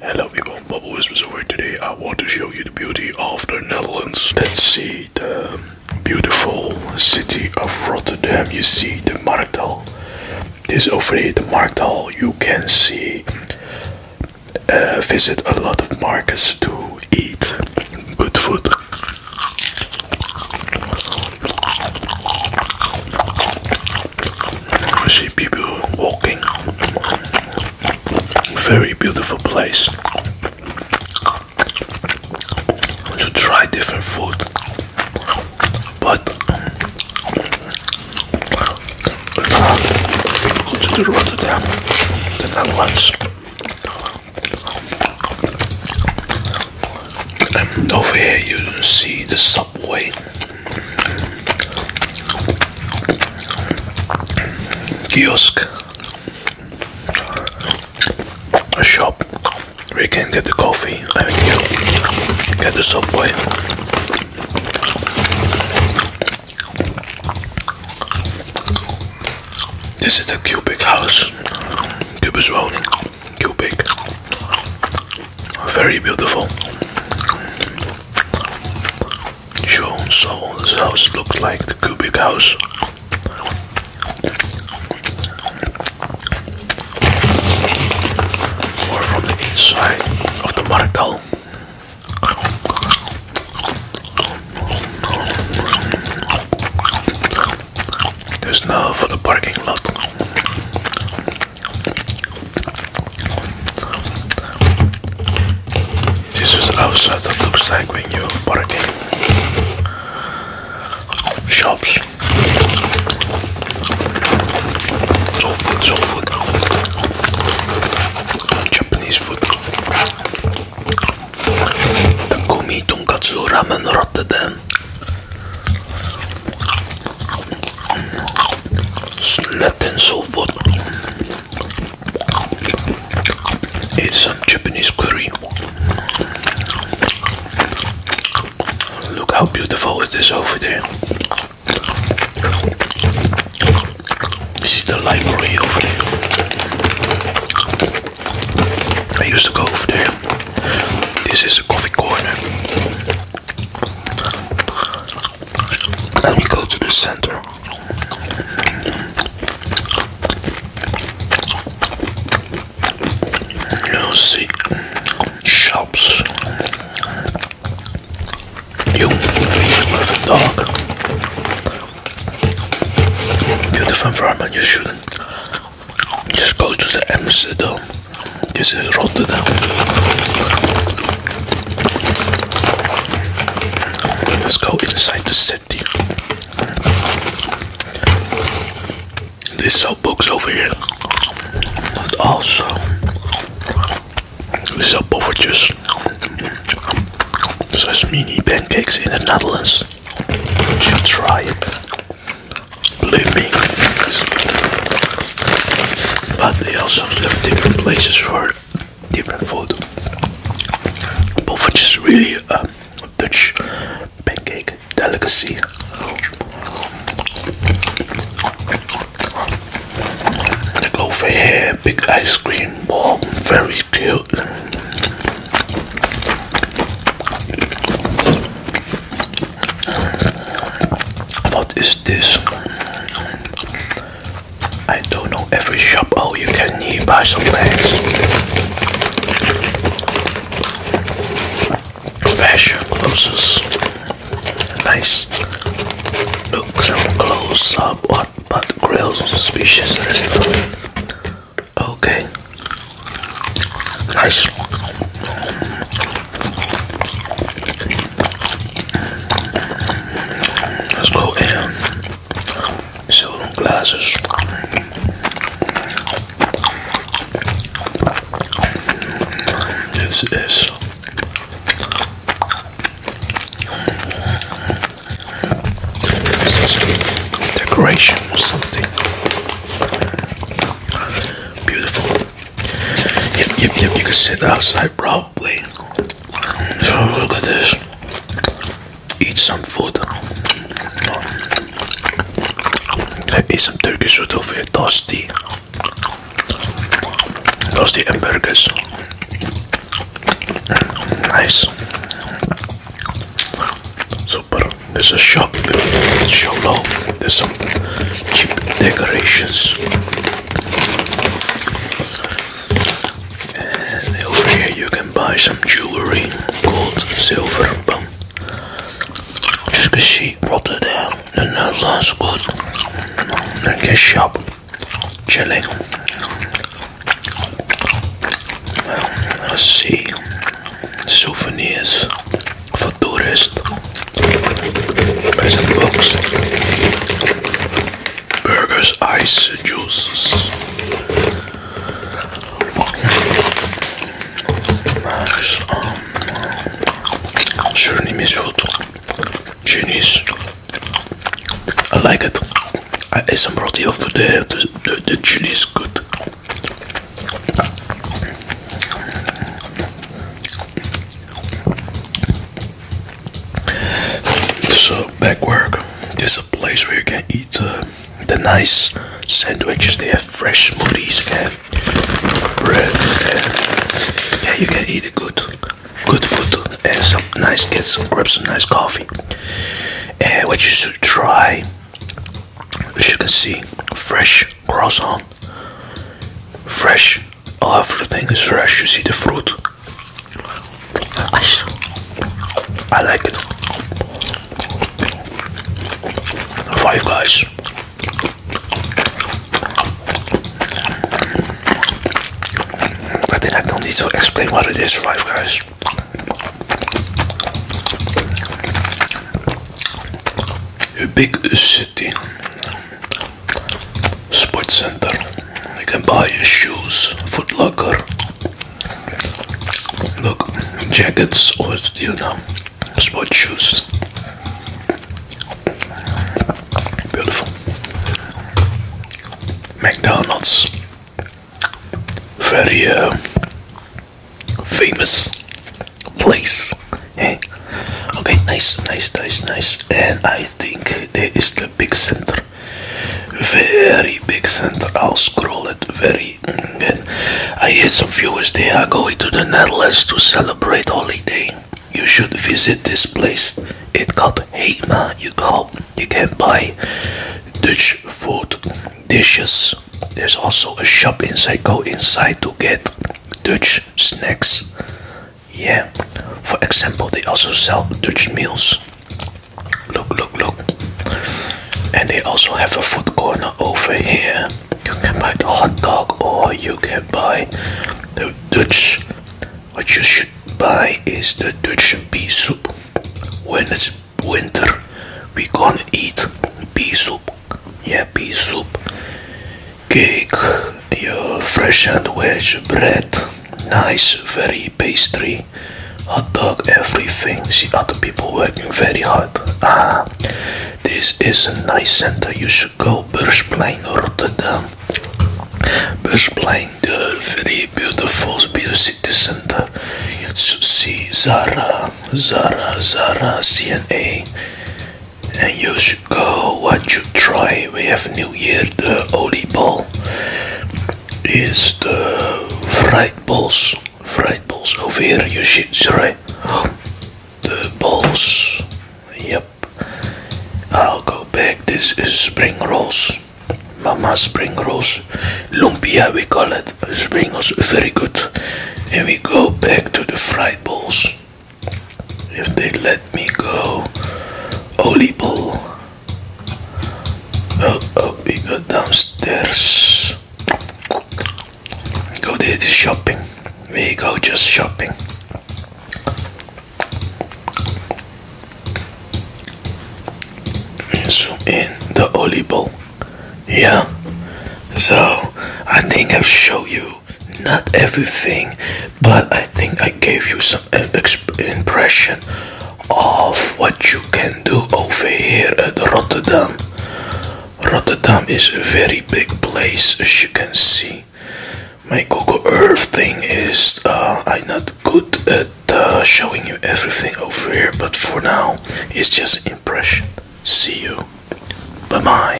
Hello people, Bubble Whispers over today. I want to show you the beauty of the Netherlands. Let's see the beautiful city of Rotterdam. You see the Marktal. This over here, the Marktal. You can see, uh, visit a lot of markets to eat good food. I see people walking. Very beautiful place. To try different food, but go to Rotterdam, the Netherlands, and over here you see the sun. Subway. Kiosk. A shop where you can get the coffee. I mean, you get the Subway. This is the cubic house. Cubic zoning. Cubic very beautiful. Sure, so this house looks like the cubic house. Or from the inside of the Martel. There's now for the parking lot. This is outside that looks like when you park in shops. So food, so food. Japanese food. Takumi tonkatsu ramen Rotterdam. Snack and so forth. It's some Japanese curry. Look how beautiful it is over there. This is the library over there. I used to go over there. This is a coffee corner. Let me go to the center. you shops. You feel with a dog. Beautiful environment, you shouldn't just go to the Amsterdam. This is Rotterdam. Let's go inside the city. This sell books over here, but also they sell poffertjes. Such mini pancakes in the Netherlands. You should try it. Believe me, but they also have different places for different food. But which is really a um, Dutch pancake delicacy. Like over here, big ice cream ball, very cute. What is this? I don't know every shop. Oh, you can buy some bags. Fashion clothes. Nice. Look, some close up. But grills suspicious restaurant. Okay. Nice. Let's go and sell them glasses. This is this is decoration or something beautiful. Yep, yep, yep. You can sit outside probably. So look at this. Eat some food. Eat some Turkish food over here. Toasty. Toasty burgers. Nice. Super. There's a shop. It's show low. There's some cheap decorations. And over here you can buy some jewelry called silver but just cause she rotted down and that last good like a shop chilling let's see souvenirs for tourists. Present books, Burgers, ice, juices. Nice. Surnimiz food. Genius. I like it. I ate some roti of there. the, the chili is good. So back work, this is a place where you can eat uh, the nice sandwiches. They have fresh smoothies and bread. And yeah, you can eat a good, good food and some nice get some grab some nice coffee. And what you should try, as you can see, fresh croissant Fresh. everything is fresh. You see the fruit. I like it. Five guys. I think I don't need to explain what it is, Five Guys. A big city Sports Center. You can buy shoes, Foot Locker. Look, jackets or you know, sport shoes. Beautiful. McDonald's. Very uh, famous place Okay, nice, nice, nice, nice. And I think there is the big center. Very big center. I'll scroll it very mm, I hear some viewers they are going to the Netherlands to celebrate holiday. You should visit this place. It got Hema. You got you can buy Dutch food dishes. There's also a shop inside. Go inside to get Dutch snacks. Yeah, for example, they also sell Dutch meals. Look, look, look. And they also have a food corner over here. You can buy the hot dog or you can buy the Dutch. What you should buy is the Dutch pea soup. When it's winter, we gonna eat pea soup yeah, soup, cake, the uh, fresh and wedge bread, nice, very pastry, hot dog, everything. See other people working very hard. Ah, this is a nice center. You should go Bursplein, Rotterdam. Bursplein, the very beautiful, beautiful city center. You see Zara, Zara, Zara, CNA and you should go once you try we have new year the only ball is the fried balls fried balls over here you should try the balls yep I'll go back this is spring rolls mama spring rolls lumpia we call it spring rolls very good and we go back to the fried balls if they let me go. Olible. Oh, oh, we go downstairs. Go there to shopping. We go just shopping. Zoom in the olible. Yeah. So I think I've shown you not everything, but I think I gave you some impression of what you can do over here at Rotterdam. Rotterdam is a very big place, as you can see. My Google Earth thing is uh, I'm not good at uh, showing you everything over here, but for now, it's just impression. See you. Bye bye.